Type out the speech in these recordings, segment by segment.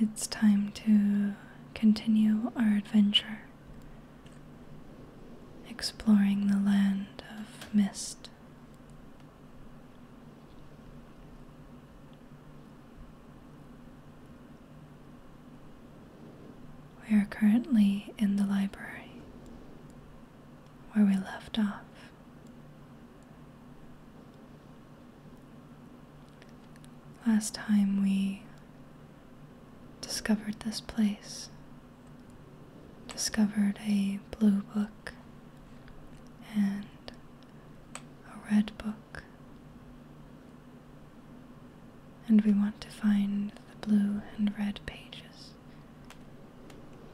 It's time to continue our adventure, exploring the land of mist. We are currently in the library where we left off. Last time we discovered this place, discovered a blue book and a red book, and we want to find the blue and red pages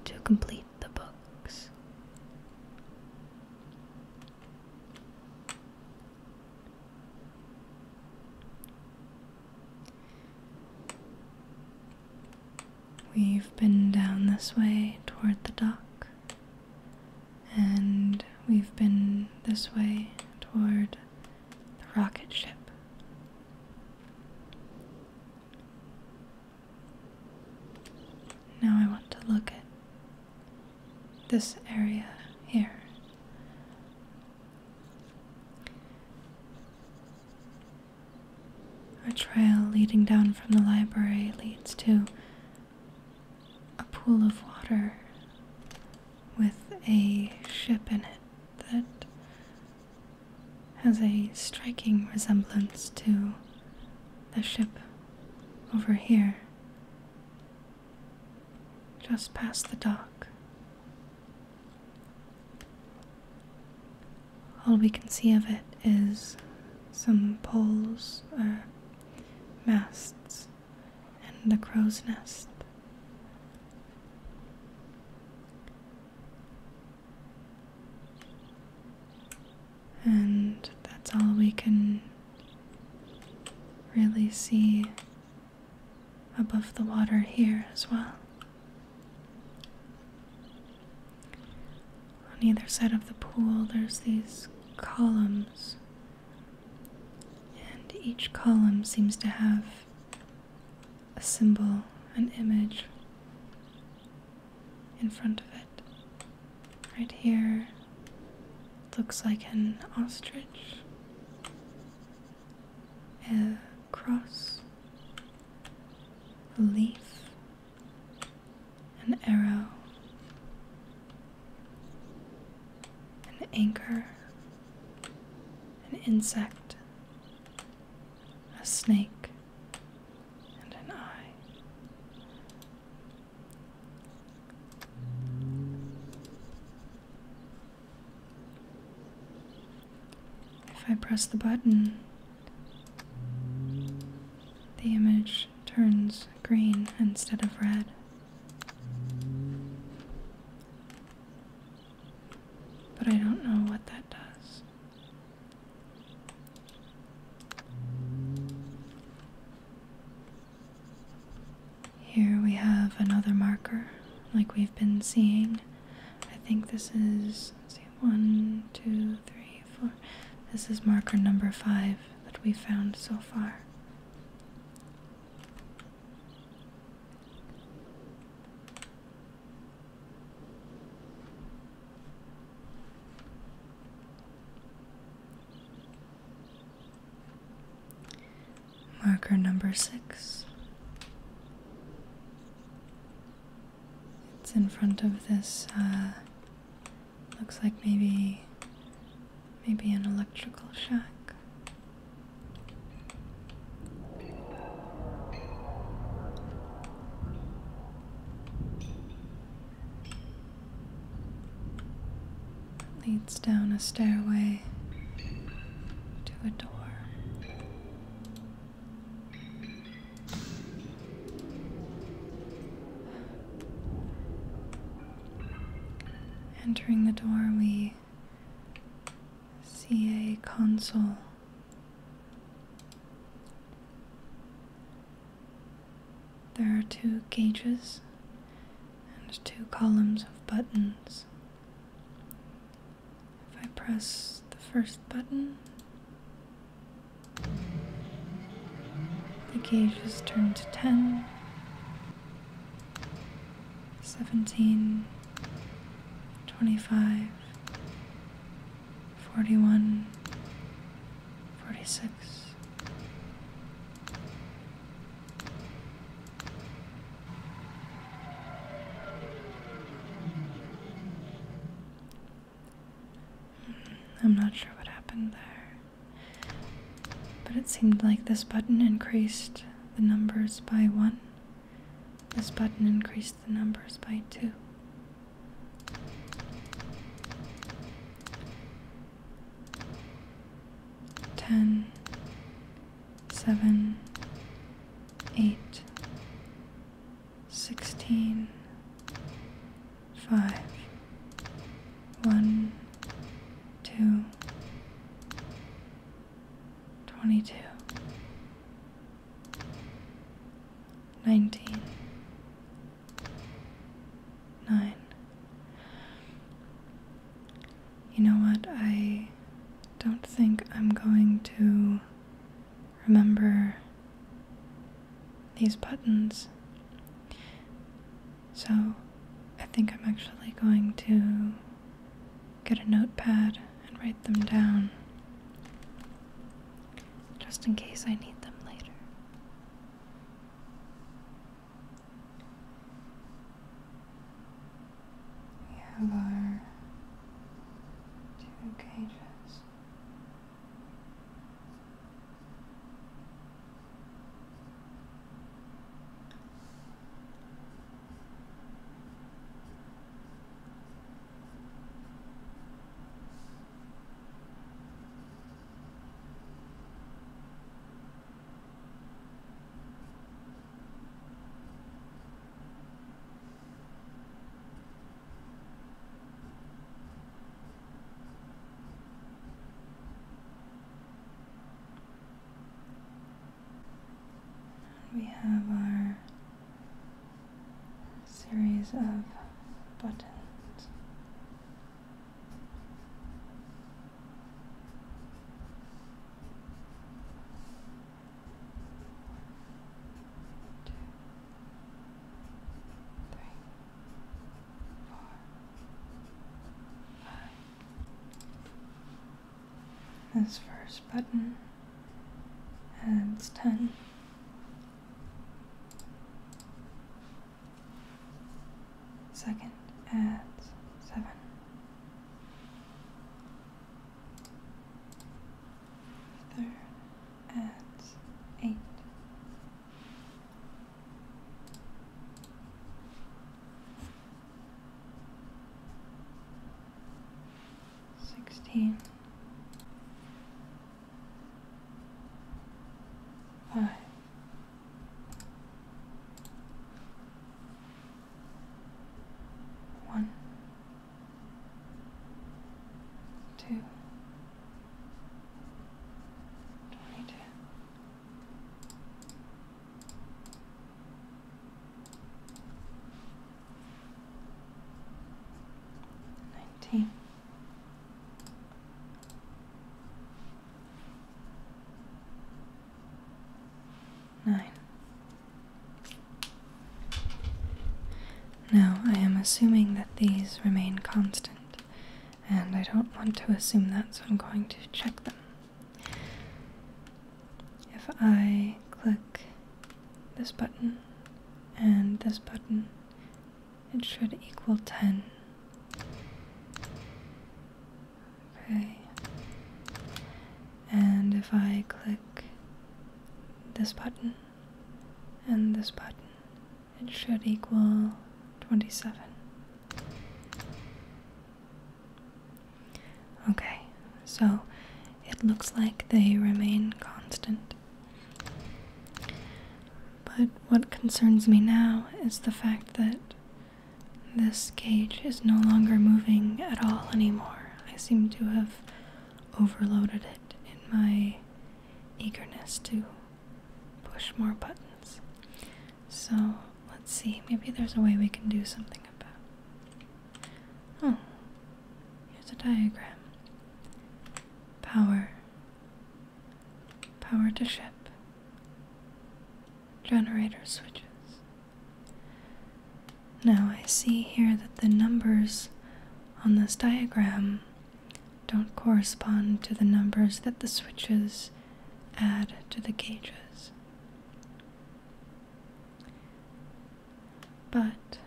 to complete the book. We've been down this way toward the dock, and we've been this way toward the rocket ship. Now I want to look at this area here. A trail leading down from the library leads to a pool of water with a ship in it that has a striking resemblance to the ship over here just past the dock. All we can see of it is some poles or uh, masts and the crow's nest and that's all we can really see above the water here as well. On either side of the pool, there's these columns, and each column seems to have a symbol, an image in front of it. Right here looks like an ostrich, a cross, a leaf, an arrow, an anchor, an insect, a snake, and an eye. If I press the button, the image turns green instead of red. But I don't know what that does. Here we have another marker like we've been seeing. I think this is see, one, two, three, four. This is marker number five that we found so far. Marker number six. It's in front of this, uh, looks like maybe, maybe an electrical shack leads down a stairway to a door. Entering the door, we see a console there are two gauges and two columns of buttons. If I press the first button, the gauge is turned to 10, 17, 25, 41, 46. I'm not sure what happened there. But it seemed like this button increased the numbers by one. This button increased the numbers by two ten, seven, eight, sixteen, five, one, two, twenty-two, nineteen nine. You know what? I don't think I'm going to remember these buttons. So I think I'm actually going to get a notepad and write them down just in case I need them later. We have our two cages. We have our series of buttons two, three, four, five. This first button adds ten second at seven. Third at eight. Sixteen. Five. One, two, twenty two. Nineteen Nine. Now, I am assuming that these remain constant, and I don't want to assume that, so I'm going to check them. If I click this button and this button, it should equal 10. Okay. And if I click this button and this button, it should equal 27. Okay, so it looks like they remain constant. But what concerns me now is the fact that this cage is no longer moving at all anymore. I seem to have overloaded it in my eagerness to push more buttons. So let's see, maybe there's a way we can do something about. Oh, here's a diagram. Power. Power to ship. Generator switches. Now I see here that the numbers on this diagram don't correspond to the numbers that the switches add to the gauges. But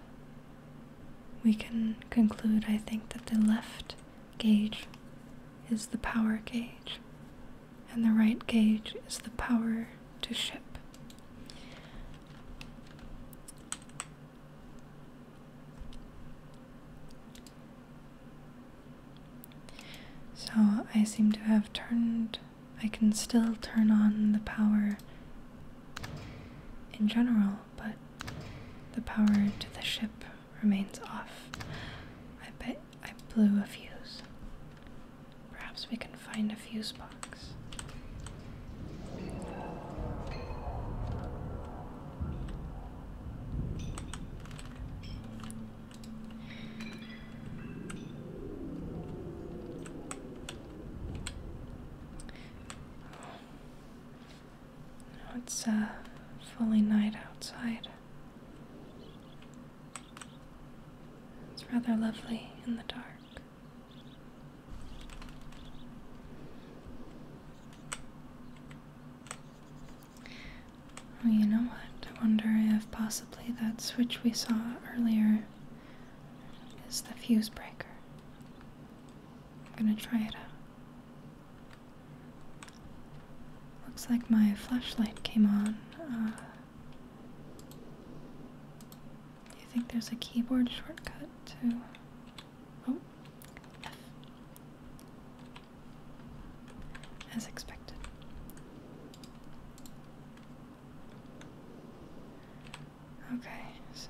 we can conclude, I think, that the left gauge is the power gauge and the right gauge is the power to ship. So I seem to have turned, I can still turn on the power in general, but the power to the ship remains off. I bet I blew a fuse. Perhaps we can find a fuse box. It's uh, fully night outside. It's rather lovely in the dark. Well, you know what? I wonder if possibly that switch we saw earlier is the fuse breaker. I'm gonna try it out. Looks like my flashlight came on. do uh, you think there's a keyboard shortcut to. Oh, F. As expected. Okay, so.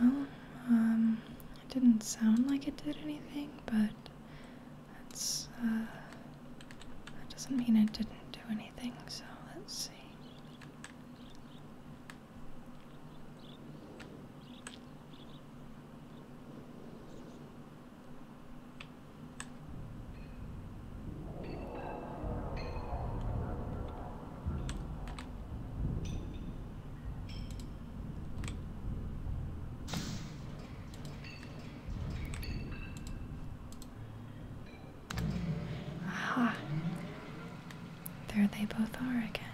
Well, um, it didn't sound like it did anything, but that's, uh, that doesn't mean it didn't do anything, so let's see. Aha. There they both are again.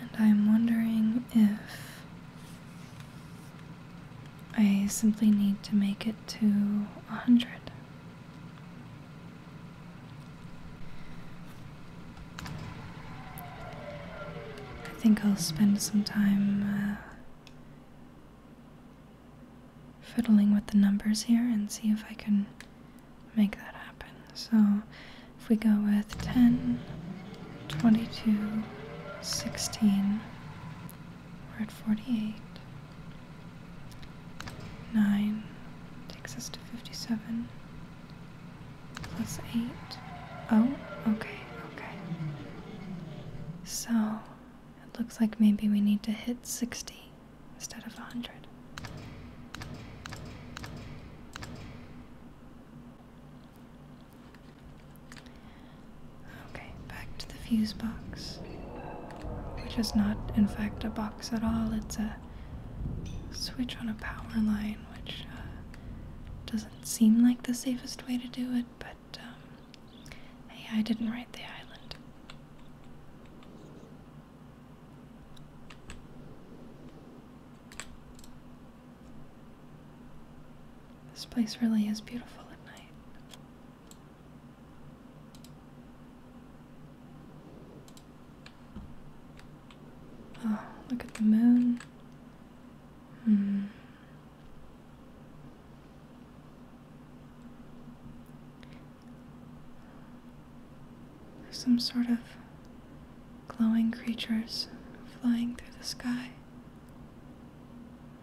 And I'm wondering if I simply need to make it to 100. I think I'll spend some time uh, fiddling with the numbers here and see if I can make that happen. So if we go with 10, 22, 16, we're at 48. 9 takes us to 57. Plus 8. Oh, okay, okay. So, it looks like maybe we need to hit 60 instead of 100. Okay, back to the fuse box. Which is not, in fact, a box at all. It's a switch on a power line, which uh, doesn't seem like the safest way to do it, but um, hey, I didn't write the island. This place really is beautiful at night. Oh, look at the moon. There's hmm. some sort of glowing creatures flying through the sky.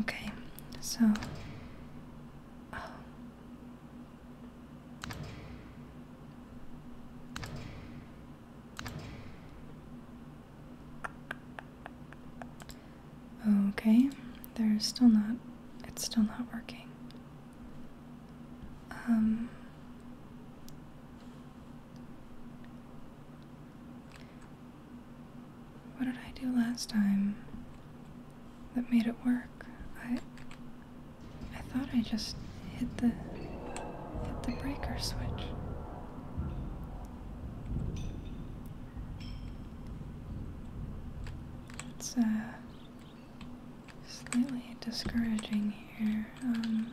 Okay, so oh. Okay, there's still not, it's still not working. Um, what did I do last time that made it work? I, I thought I just hit the, hit the breaker switch. It's uh, slightly discouraging here. Um.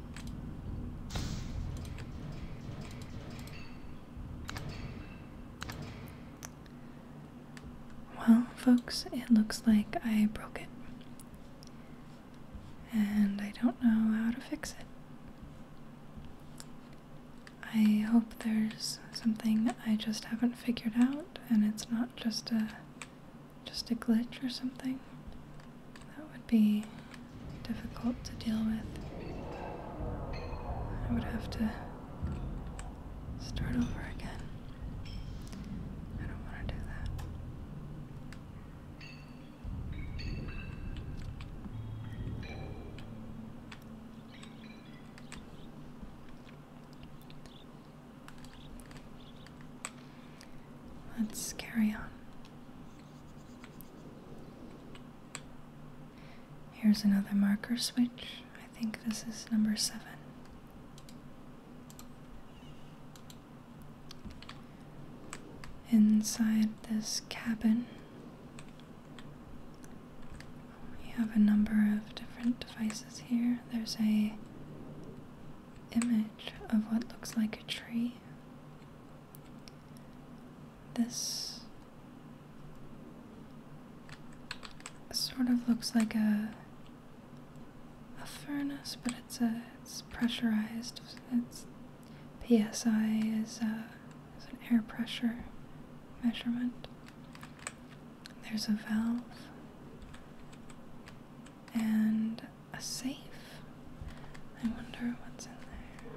Well, folks, it looks like I broke it. And I don't know how to fix it. I hope there's something I just haven't figured out and it's not just a just a glitch or something. That would be difficult to deal with. I would have to start over again. I don't want to do that. Let's carry on. Here's another marker switch. I think this is number seven. Inside this cabin, we have a number of different devices here. There's a image of what looks like a tree this sort of looks like a a furnace, but it's a it's pressurized. It's psi uh, is an air pressure measurement. There's a valve and a safe. I wonder what's in there.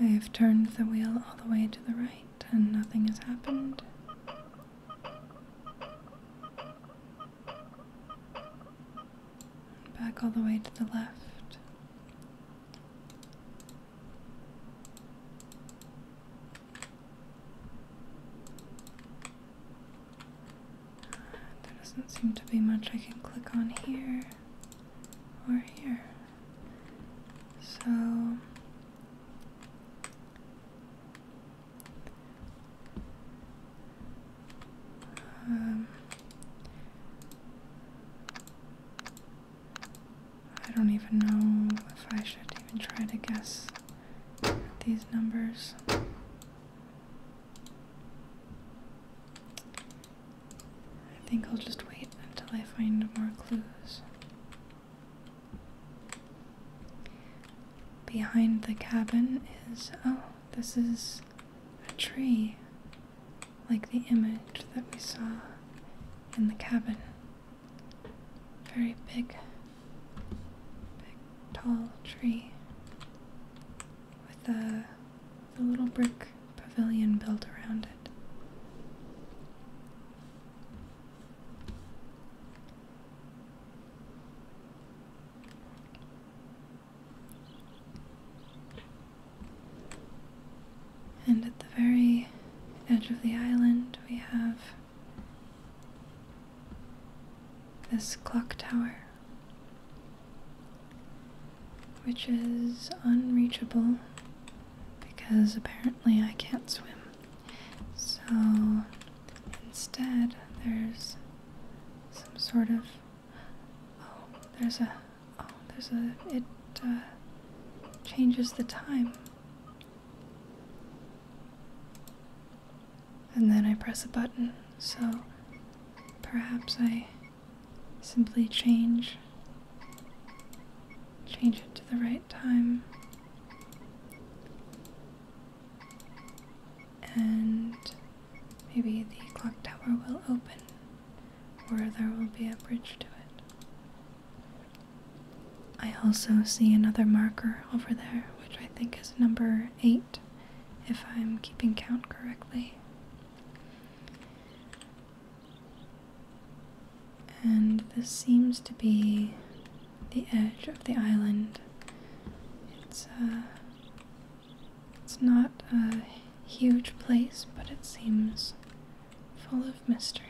I have turned the wheel all the way to the right and nothing has happened. Back all the way to the left. There doesn't seem to be much I can click on here or here. So um, I don't even know if I should even try to guess these numbers. I think I'll just wait until I find more clues. Behind the cabin is, oh, this is a tree, like the image that we saw in the cabin. Very big, big, tall tree with a, with little brick pavilion built around it. And at the very edge of the island, we have this clock tower, which is unreachable because apparently I can't swim. So instead, there's some sort of oh, there's a oh, there's a it uh, changes the time. And then I press a button, so perhaps I simply change Change it to the right time. And maybe the clock tower will open, or there will be a bridge to it. I also see another marker over there, which I think is number 8, if I'm keeping count correctly. And this seems to be the edge of the island. It's uh, it's not a huge place, but it seems full of mystery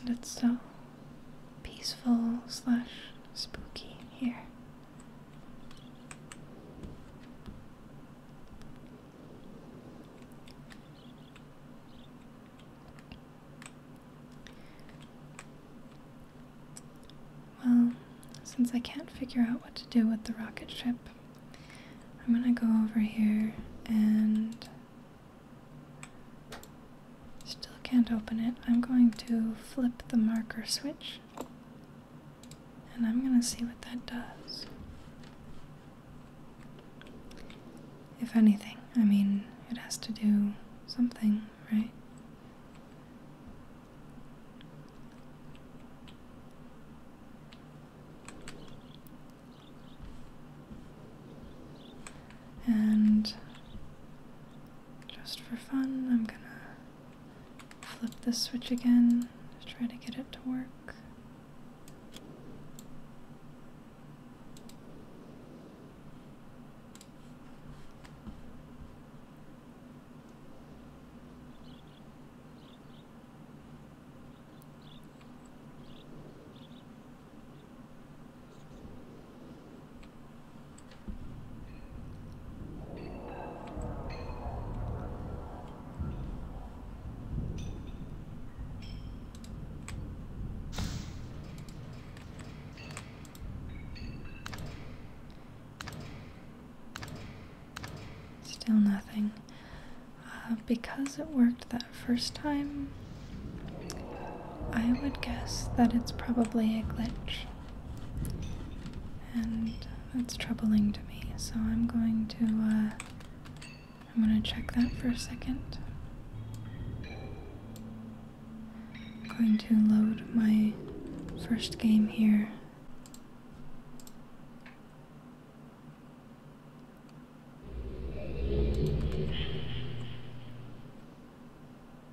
and it's so peaceful slash spooky here. Well, since I can't figure out what to do with the rocket ship, I'm gonna go over here and Still can't open it. I'm going to flip the marker switch and I'm going to see what that does. If anything, I mean, it has to do something, right? And just for fun, I'm gonna flip this switch again to try to get it to work. Still nothing. Uh, because it worked that first time, I would guess that it's probably a glitch. And that's troubling to me, so I'm going to, uh, I'm going to check that for a second. I'm going to load my first game here.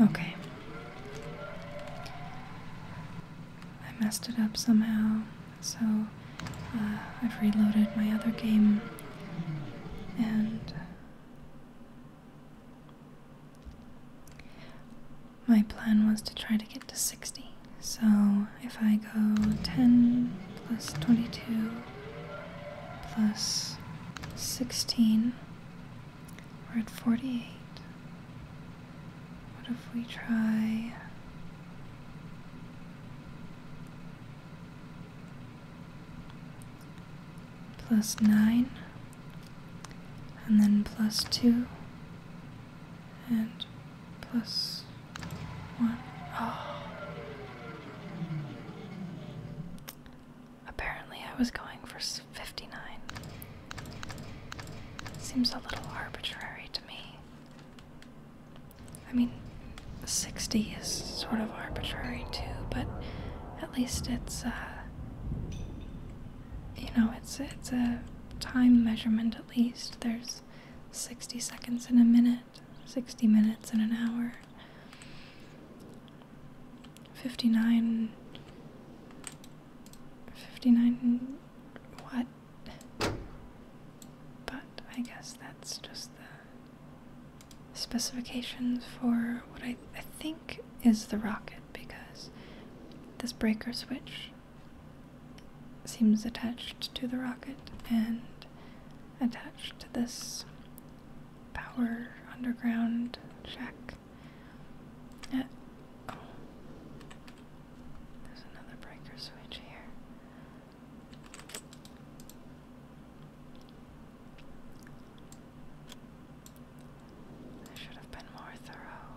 Okay. I messed it up somehow, so uh, I've reloaded my other game and. My plan was to try to get to 60. So if I go 10 plus 22 plus 16. We're at 48. What if we try... plus 9, and then plus 2, and plus 1. Oh, Apparently, I was going for 59. Seems a little arbitrary to me. I mean, 60 is sort of arbitrary too, but at least it's, uh, you know, it's, it's a time measurement at least. There's 60 seconds in a minute. 60 minutes in an hour. 59 59 what? But I guess that's just the specifications for what I, I think is the rocket because this breaker switch seems attached to the rocket and attached to this power underground shack. Uh, oh. There's another breaker switch here. I should have been more thorough.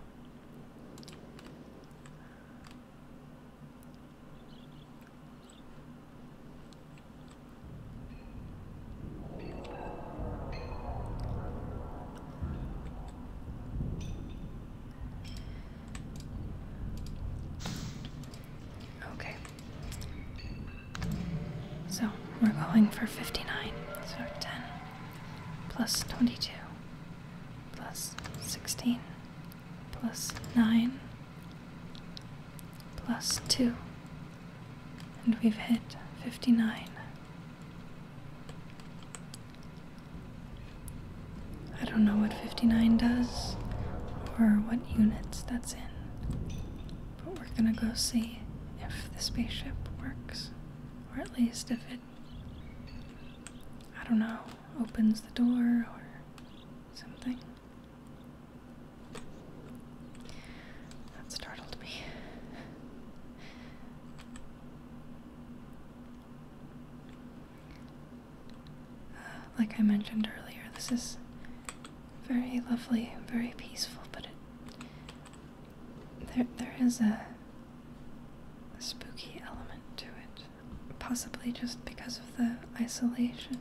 Okay. So we're going for 59. So 10 plus 22 plus 16 plus 9 plus 2 and we've hit 59. I don't know what 59 does or what units that's in, but we're gonna go see if the spaceship works, or at least if it, I don't know, opens the door or something. That startled me. Uh, like I mentioned earlier, this is very lovely, very peaceful, but it there there is a spooky element to it, possibly just because of the isolation.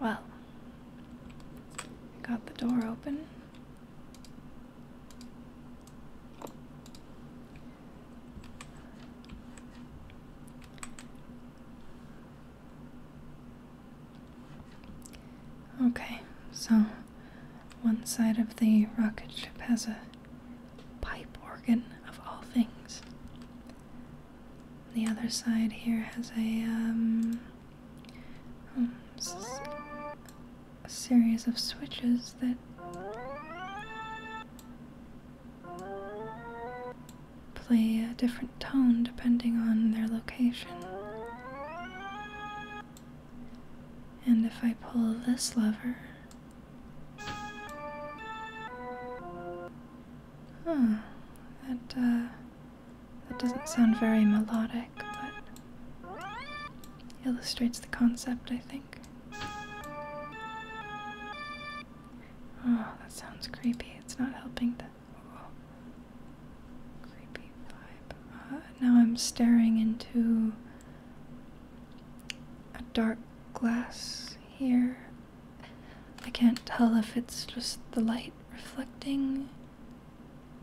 Well, got the door open. Okay, so one side of the rocket ship has a pipe organ of all things. The other side here has um, oh, a, series of switches that play a different tone depending on their location. And if I pull this lever, Huh. That, uh, that doesn't sound very melodic, but illustrates the concept, I think. Oh, that sounds creepy. It's not helping the oh, creepy vibe. Uh, now I'm staring into a dark glass here. I can't tell if it's just the light reflecting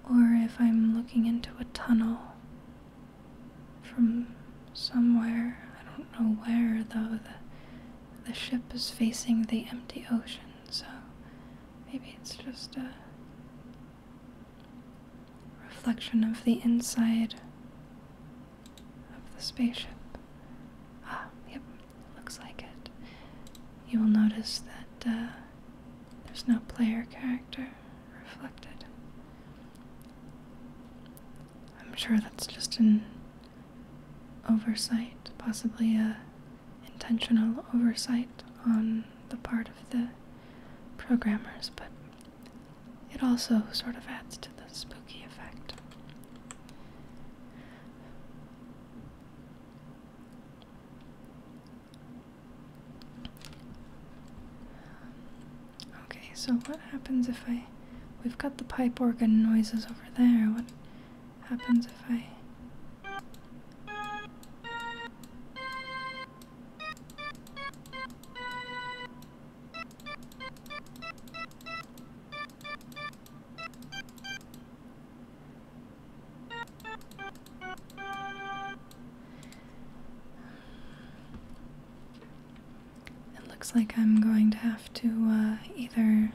or if I'm looking into a tunnel from somewhere. I don't know where though. The, the ship is facing the empty ocean, so maybe it's just a reflection of the inside of the spaceship. Ah, yep, looks like it. You will notice that uh, there's no player character reflected. I'm sure that's just an oversight, possibly a intentional oversight on the part of the programmers, but it also sort of adds to the spooky effect. Okay, so what happens if I we've got the pipe organ noises over there. What happens if I it looks like I'm going to have to uh, either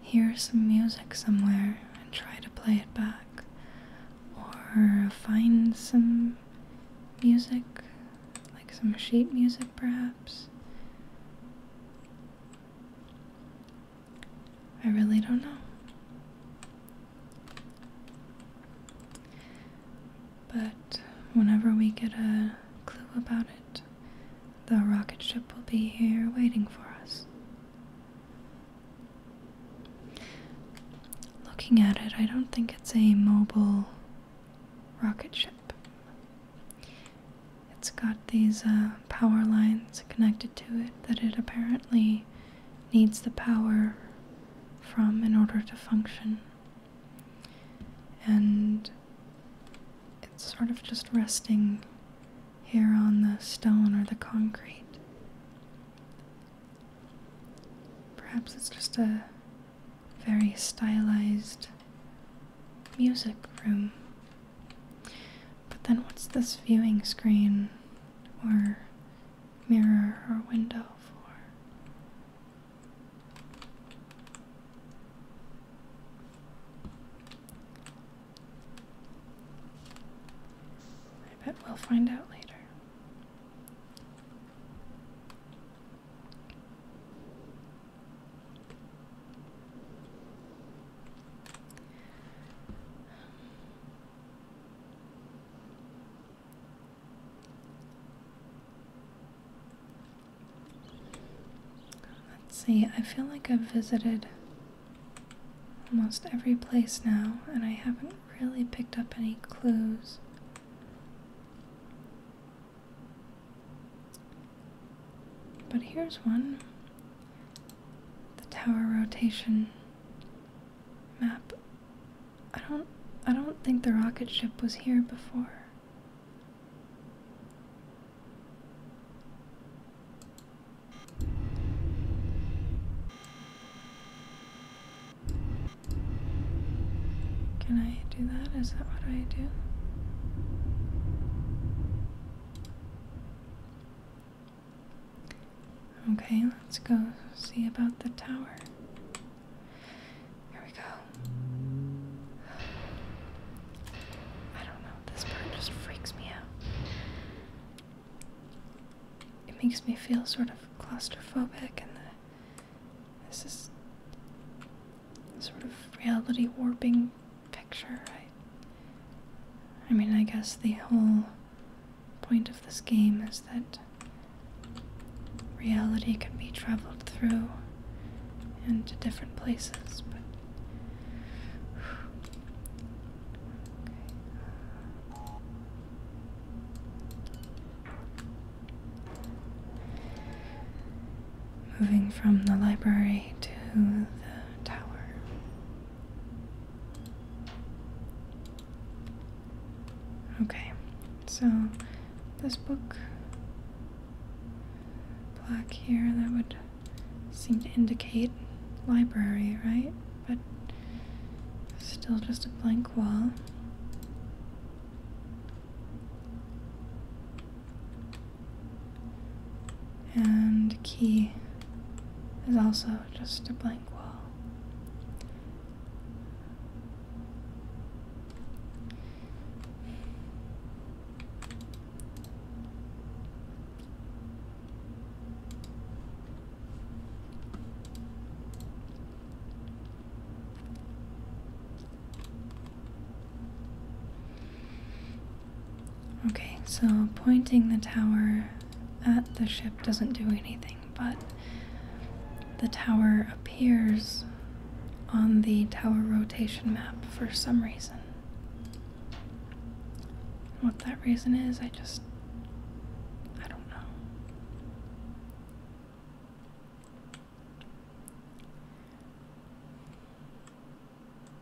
hear some music somewhere and try to play it back, or find some music, like some sheet music perhaps. I really don't know. But whenever we get a clue about it, the rocket ship will be here waiting for us. Looking at it, I don't think it's a mobile rocket ship it's got these uh, power lines connected to it that it apparently needs the power from in order to function. And it's sort of just resting here on the stone or the concrete. Perhaps it's just a very stylized music room. But then, what's this viewing screen or mirror or window for? I bet we'll find out later. Let's see, I feel like I've visited almost every place now, and I haven't really picked up any clues. But here's one the tower rotation map. I don't I don't think the rocket ship was here before. Can do that? Is that what I do? Okay, let's go see about the tower. Here we go. I don't know, this part just freaks me out. It makes me feel sort of claustrophobic, and this is sort of reality warping picture, I mean, I guess the whole point of this game is that reality can be traveled through into different places, but moving from the library to the tower. Okay, so this book, black here, that would seem to indicate library, right? But still just a blank wall. And key is also just a blank wall. Okay, so pointing the tower at the ship doesn't do anything, but the tower appears on the tower rotation map for some reason. What that reason is, I just. I don't know.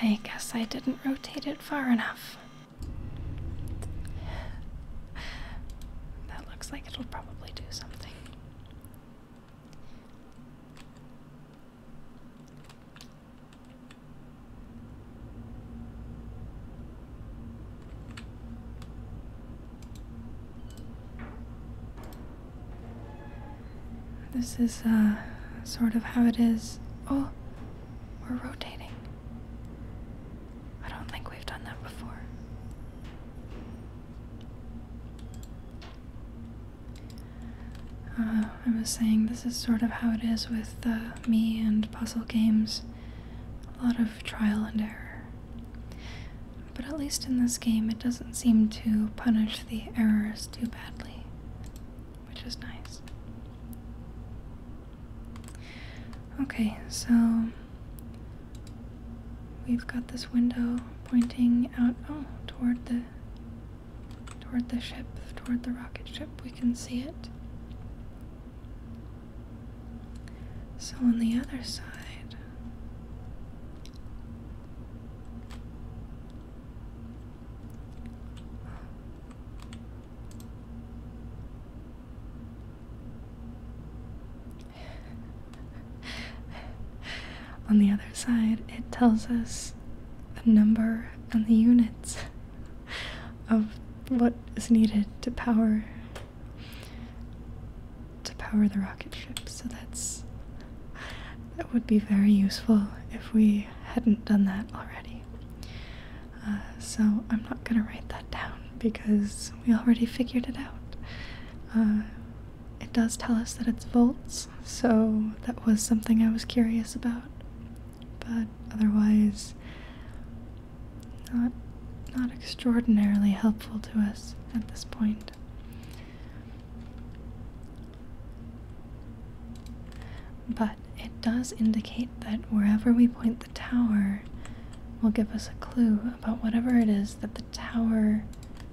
I guess I didn't rotate it far enough. That looks like it'll probably do something. This is uh, sort of how it is. Oh, we're rotating. I don't think we've done that before. Uh, I was saying this is sort of how it is with uh, me and puzzle games. A lot of trial and error. But at least in this game, it doesn't seem to punish the errors too badly which is nice. Okay, so we've got this window pointing out oh toward the toward the ship, toward the rocket ship. We can see it. So on the other side, On the other side, it tells us the number and the units of what is needed to power to power the rocket ship. So that's that would be very useful if we hadn't done that already. Uh, so I'm not going to write that down because we already figured it out. Uh, it does tell us that it's volts, so that was something I was curious about. But otherwise, not, not extraordinarily helpful to us at this point. But it does indicate that wherever we point the tower will give us a clue about whatever it is that the tower,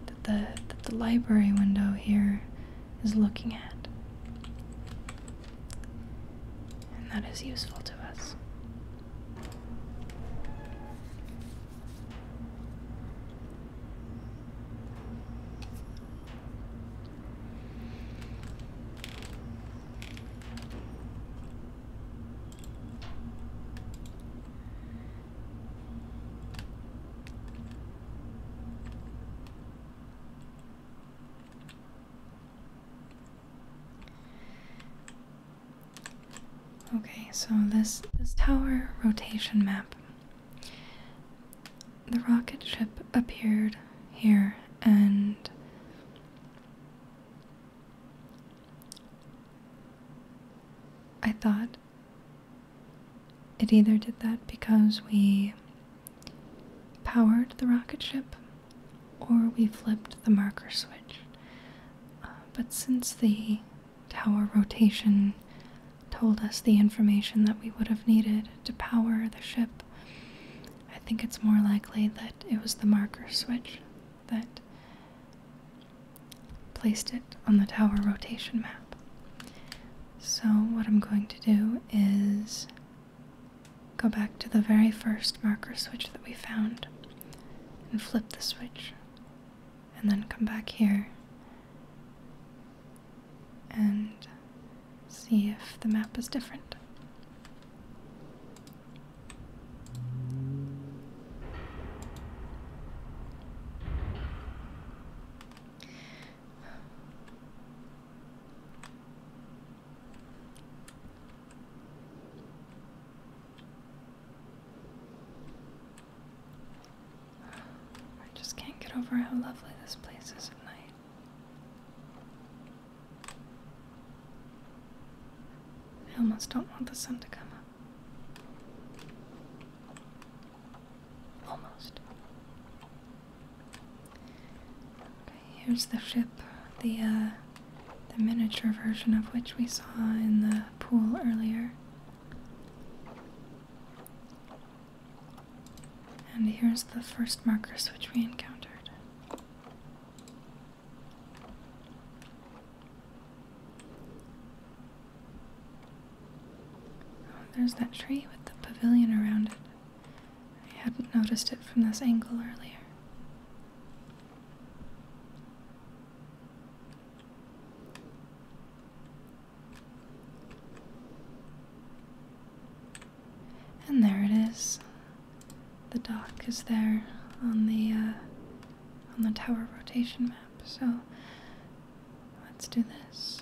that the, the library window here is looking at. And that is useful to us. Okay, so this this tower rotation map the rocket ship appeared here and I thought it either did that because we powered the rocket ship or we flipped the marker switch. Uh, but since the tower rotation told us the information that we would have needed to power the ship, I think it's more likely that it was the marker switch that placed it on the tower rotation map. So, what I'm going to do is go back to the very first marker switch that we found and flip the switch, and then come back here and see if the map is different. I just can't get over how lovely this place is at night. I almost don't want the sun to come up. Almost. Okay, here's the ship, the uh, the miniature version of which we saw in the pool earlier. And here's the first marker switch we encountered. Oh, there's that tree with the pavilion around it. I hadn't noticed it from this angle earlier. And there it is. The dock is there on the uh, on the tower rotation map. So let's do this.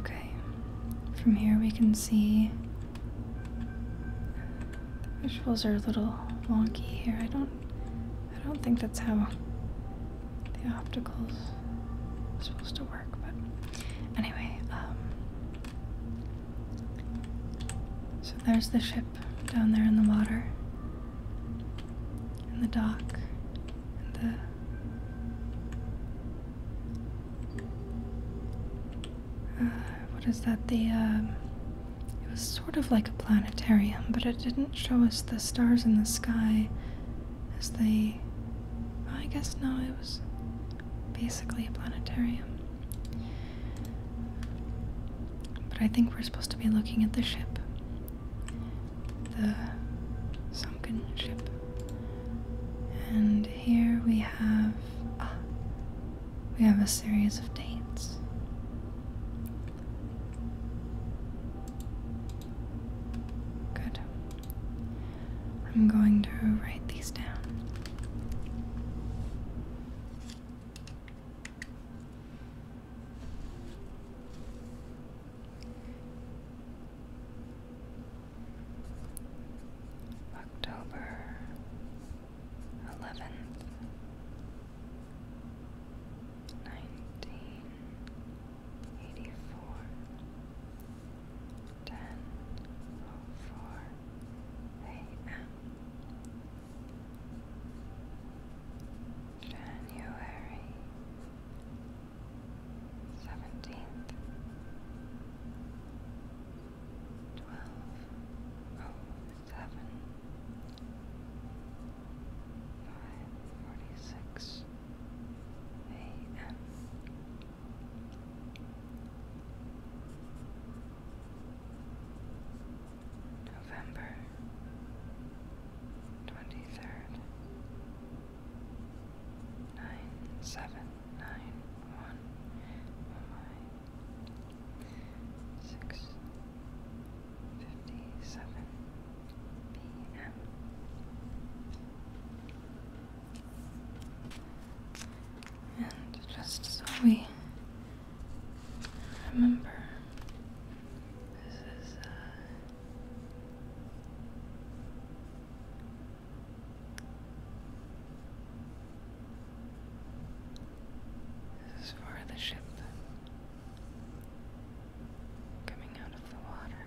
Okay, from here we can see the visuals are a little wonky here. I don't I don't think that's how the opticals are supposed to work, but anyway, um so there's the ship down there in the water, in the dock, the uh, what is that? The um, it was sort of like a planetarium, but it didn't show us the stars in the sky as they. Well, I guess no, it was basically a planetarium. But I think we're supposed to be looking at the ship. The sunken ship. And here we have. Ah, we have a series of dates. Good. I'm going to write these down. October eleventh, nineteen eighty four, ten oh four AM January seventeenth, twelve oh seven, five forty six a.m. November twenty third nine seven nine one oh six fifty seven PM and just so we Remember, this is uh, this is for the ship coming out of the water.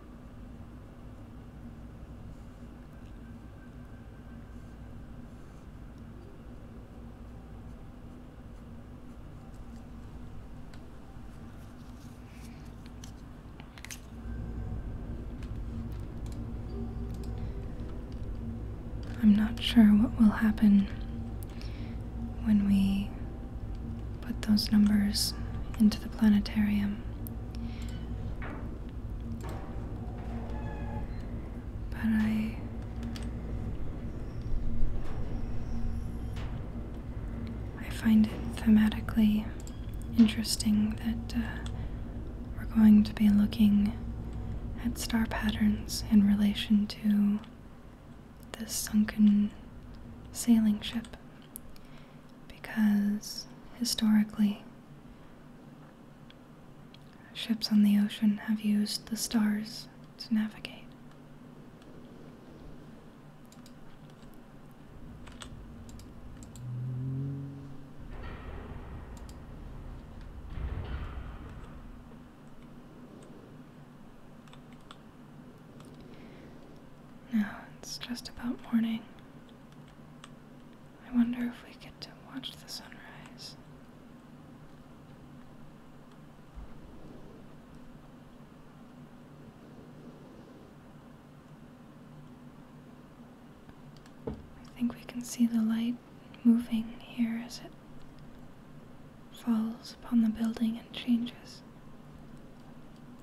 I'm not sure what will happen when we put those numbers into the planetarium. But I. I find it thematically interesting that uh, we're going to be looking at star patterns in relation to this sunken sailing ship because historically, ships on the ocean have used the stars to navigate. Now it's just about morning. I wonder if we get to watch the sunrise. I think we can see the light moving here as it falls upon the building and changes.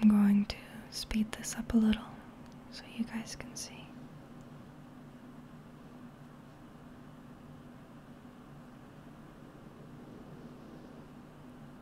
I'm going to speed this up a little so you guys can see.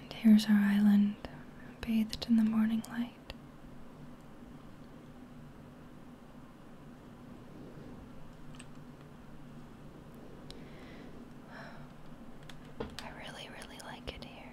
And here's our island, bathed in the morning light. I really, really like it here.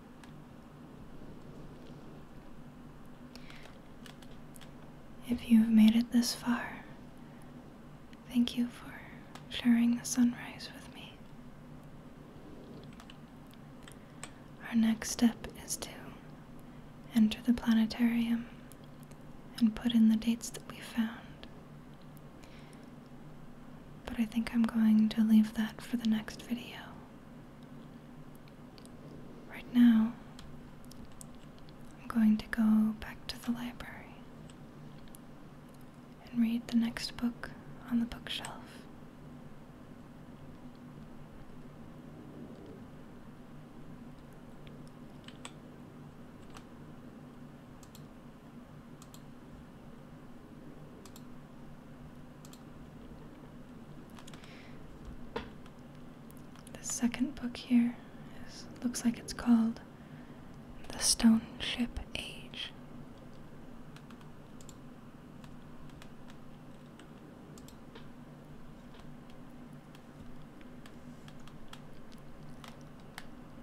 If you have made it this far, thank you for sharing the sunrise with me. Our next step is to enter the planetarium and put in the dates that we found. But I think I'm going to leave that for the next video. Right now, I'm going to go back to the library and read the next book on the bookshelf. The second book here looks like it's called The Stone Ship Age.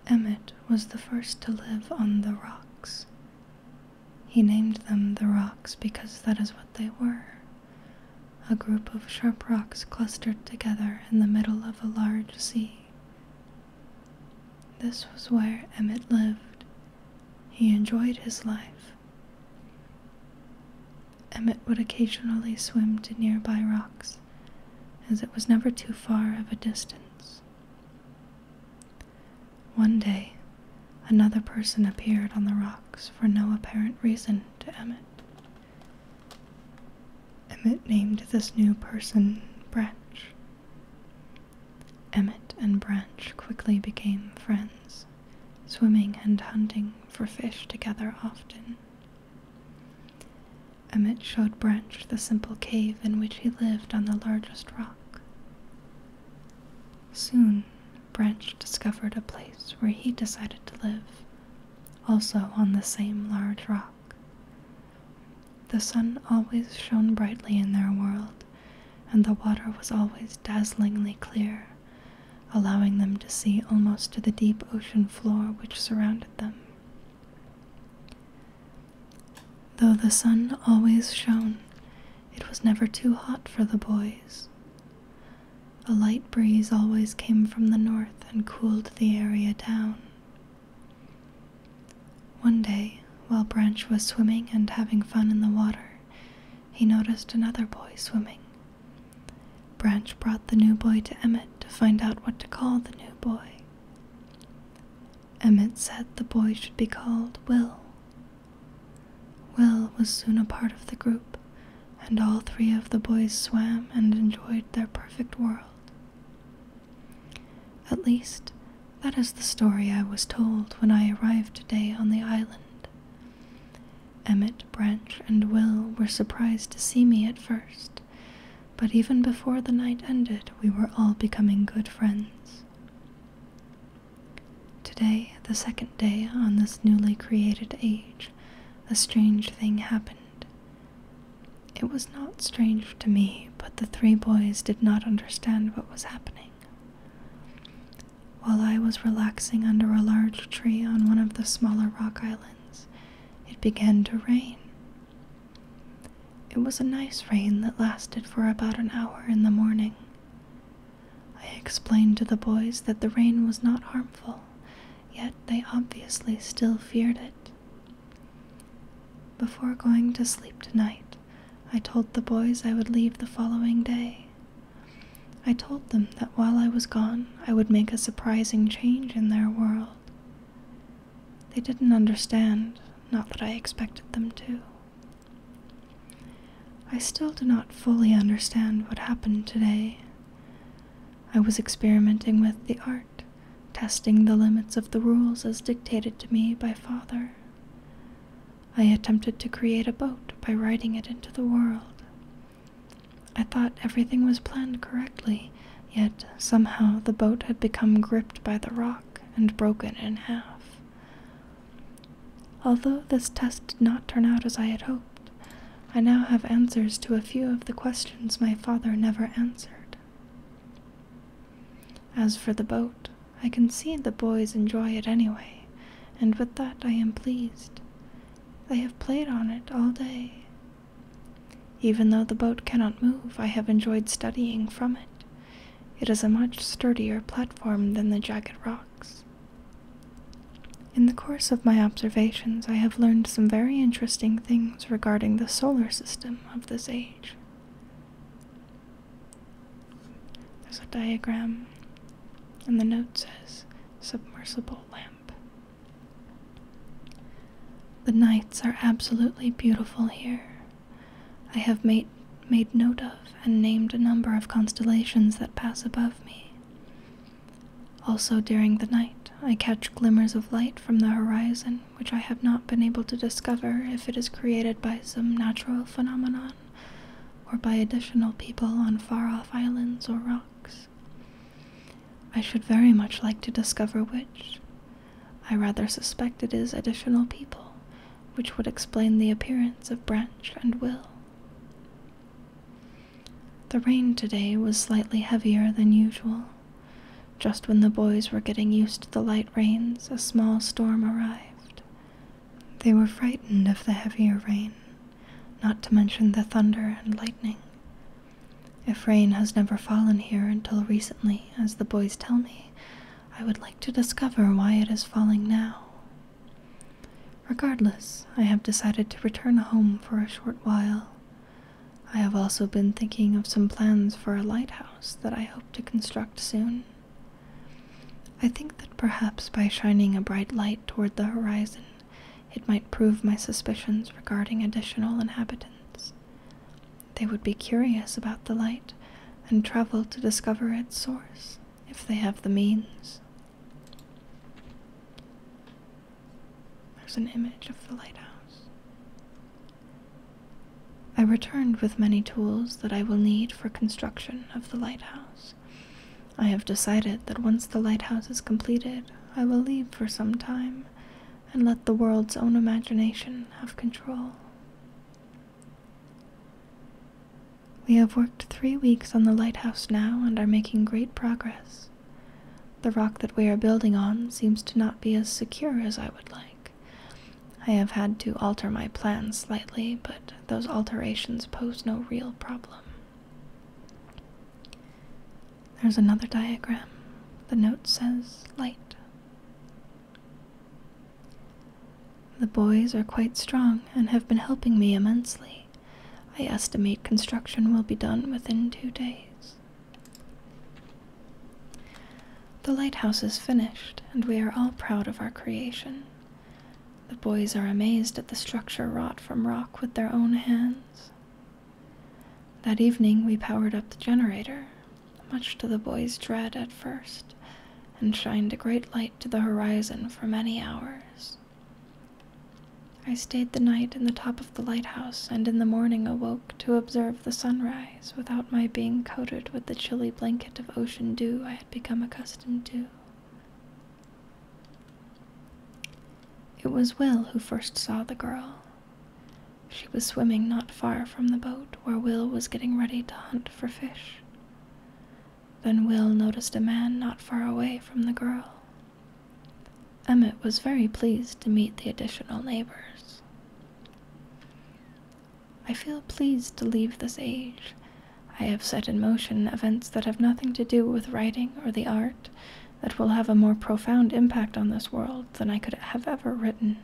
Emmett was the first to live on the rocks he named them the rocks because that is what they were a group of sharp rocks clustered together in the middle of a large sea. This was where Emmett lived. He enjoyed his life. Emmett would occasionally swim to nearby rocks, as it was never too far of a distance. One day, another person appeared on the rocks for no apparent reason to Emmett. Emmett named this new person Branch. Emmett and Branch quickly became friends, swimming and hunting for fish together often. Emmett showed Branch the simple cave in which he lived on the largest rock. Soon, Branch discovered a place where he decided to live, also on the same large rock. The sun always shone brightly in their world, and the water was always dazzlingly clear, allowing them to see almost to the deep ocean floor which surrounded them. Though the sun always shone, it was never too hot for the boys. A light breeze always came from the north and cooled the area down. One day, while Branch was swimming and having fun in the water, he noticed another boy swimming. Branch brought the new boy to Emmett to find out what to call the new boy. Emmett said the boy should be called Will. Will was soon a part of the group, and all three of the boys swam and enjoyed their perfect world. At least, that is the story I was told when I arrived today on the island. Emmett, Branch, and Will were surprised to see me at first, but even before the night ended, we were all becoming good friends. Today, the second day on this newly created age, a strange thing happened. It was not strange to me, but the three boys did not understand what was happening. While I was relaxing under a large tree on one of the smaller rock islands, it began to rain. It was a nice rain that lasted for about an hour in the morning. I explained to the boys that the rain was not harmful, yet they obviously still feared it. Before going to sleep tonight, I told the boys I would leave the following day. I told them that while I was gone, I would make a surprising change in their world. They didn't understand, not that I expected them to. I still do not fully understand what happened today. I was experimenting with the art, testing the limits of the rules as dictated to me by Father. I attempted to create a boat by riding it into the world. I thought everything was planned correctly, yet somehow the boat had become gripped by the rock and broken in half. Although this test did not turn out as I had hoped, I now have answers to a few of the questions my father never answered. As for the boat, I can see the boys enjoy it anyway, and with that I am pleased. They have played on it all day. Even though the boat cannot move, I have enjoyed studying from it. It is a much sturdier platform than the jagged rocks. In the course of my observations, I have learned some very interesting things regarding the solar system of this age. There's a diagram, and the note says submersible lamp. The nights are absolutely beautiful here. I have made made note of and named a number of constellations that pass above me. Also, during the night, I catch glimmers of light from the horizon, which I have not been able to discover if it is created by some natural phenomenon or by additional people on far off islands or rocks. I should very much like to discover which. I rather suspect it is additional people, which would explain the appearance of Branch and Will. The rain today was slightly heavier than usual. Just when the boys were getting used to the light rains, a small storm arrived. They were frightened of the heavier rain, not to mention the thunder and lightning. If rain has never fallen here until recently, as the boys tell me, I would like to discover why it is falling now. Regardless, I have decided to return home for a short while. I have also been thinking of some plans for a lighthouse that I hope to construct soon. I think that perhaps by shining a bright light toward the horizon, it might prove my suspicions regarding additional inhabitants. They would be curious about the light and travel to discover its source if they have the means. There's an image of the lighthouse. I returned with many tools that I will need for construction of the lighthouse. I have decided that once the lighthouse is completed, I will leave for some time and let the world's own imagination have control. We have worked three weeks on the lighthouse now and are making great progress. The rock that we are building on seems to not be as secure as I would like. I have had to alter my plans slightly, but those alterations pose no real problem. There's another diagram. The note says light. The boys are quite strong and have been helping me immensely. I estimate construction will be done within two days. The lighthouse is finished, and we are all proud of our creation. The boys are amazed at the structure wrought from rock with their own hands. That evening, we powered up the generator, much to the boys' dread at first, and shined a great light to the horizon for many hours. I stayed the night in the top of the lighthouse and in the morning awoke to observe the sunrise without my being coated with the chilly blanket of ocean dew I had become accustomed to. It was Will who first saw the girl. She was swimming not far from the boat where Will was getting ready to hunt for fish. Then Will noticed a man not far away from the girl. Emmett was very pleased to meet the additional neighbors. I feel pleased to leave this age. I have set in motion events that have nothing to do with writing or the art that will have a more profound impact on this world than I could have ever written.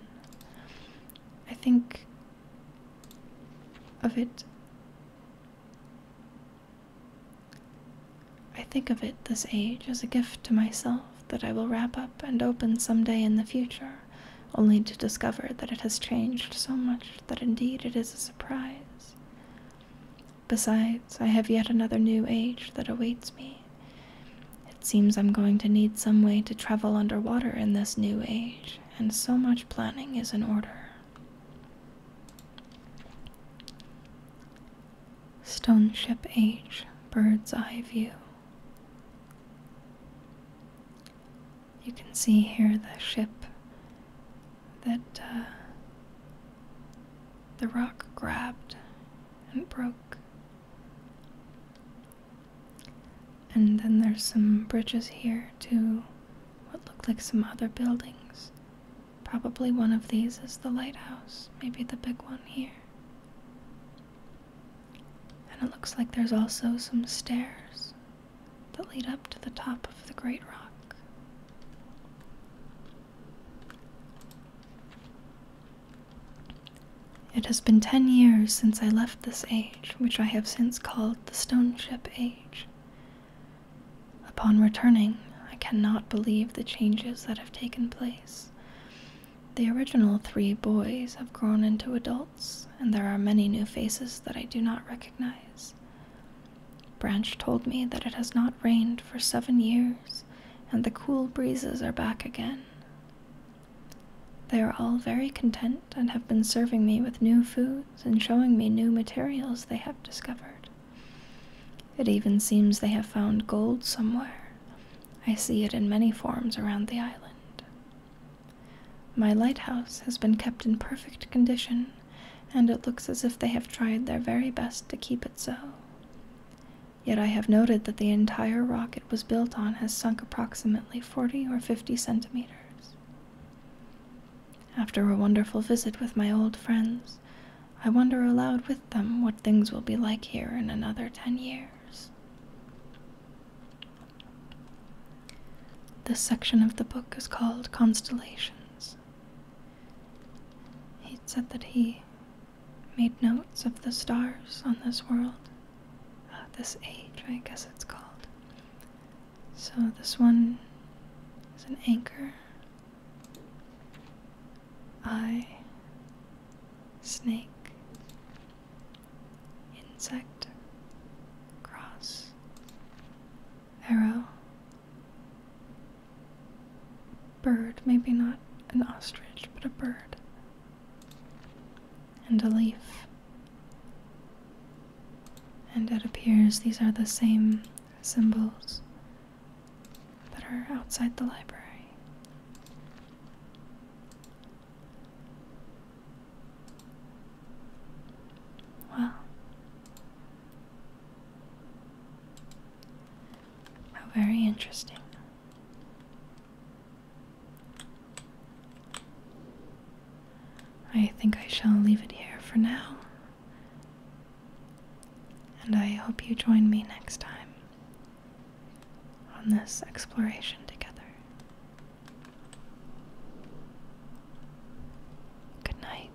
I think of it I think of it this age as a gift to myself that I will wrap up and open some day in the future, only to discover that it has changed so much that indeed it is a surprise. Besides, I have yet another new age that awaits me. It seems I'm going to need some way to travel underwater in this new age, and so much planning is in order. Stone ship H, bird's eye view. You can see here the ship that uh, the rock grabbed and broke. And then there's some bridges here to what looked like some other buildings. Probably one of these is the lighthouse, maybe the big one here. And it looks like there's also some stairs that lead up to the top of the Great Rock. It has been ten years since I left this age, which I have since called the Stone Ship Age. Upon returning, I cannot believe the changes that have taken place. The original three boys have grown into adults, and there are many new faces that I do not recognize. Branch told me that it has not rained for seven years, and the cool breezes are back again. They are all very content and have been serving me with new foods and showing me new materials they have discovered. It even seems they have found gold somewhere. I see it in many forms around the island. My lighthouse has been kept in perfect condition, and it looks as if they have tried their very best to keep it so. Yet I have noted that the entire rock it was built on has sunk approximately 40 or 50 centimeters. After a wonderful visit with my old friends, I wonder aloud with them what things will be like here in another ten years. This section of the book is called Constellations. He said that he made notes of the stars on this world, uh, this age, I guess it's called, so this one is an anchor. I, snake, insect, cross, arrow, bird, maybe not an ostrich, but a bird, and a leaf. And it appears these are the same symbols that are outside the library. Wow. How very interesting. I think I shall leave it here for now. And I hope you join me next time on this exploration together. Good night.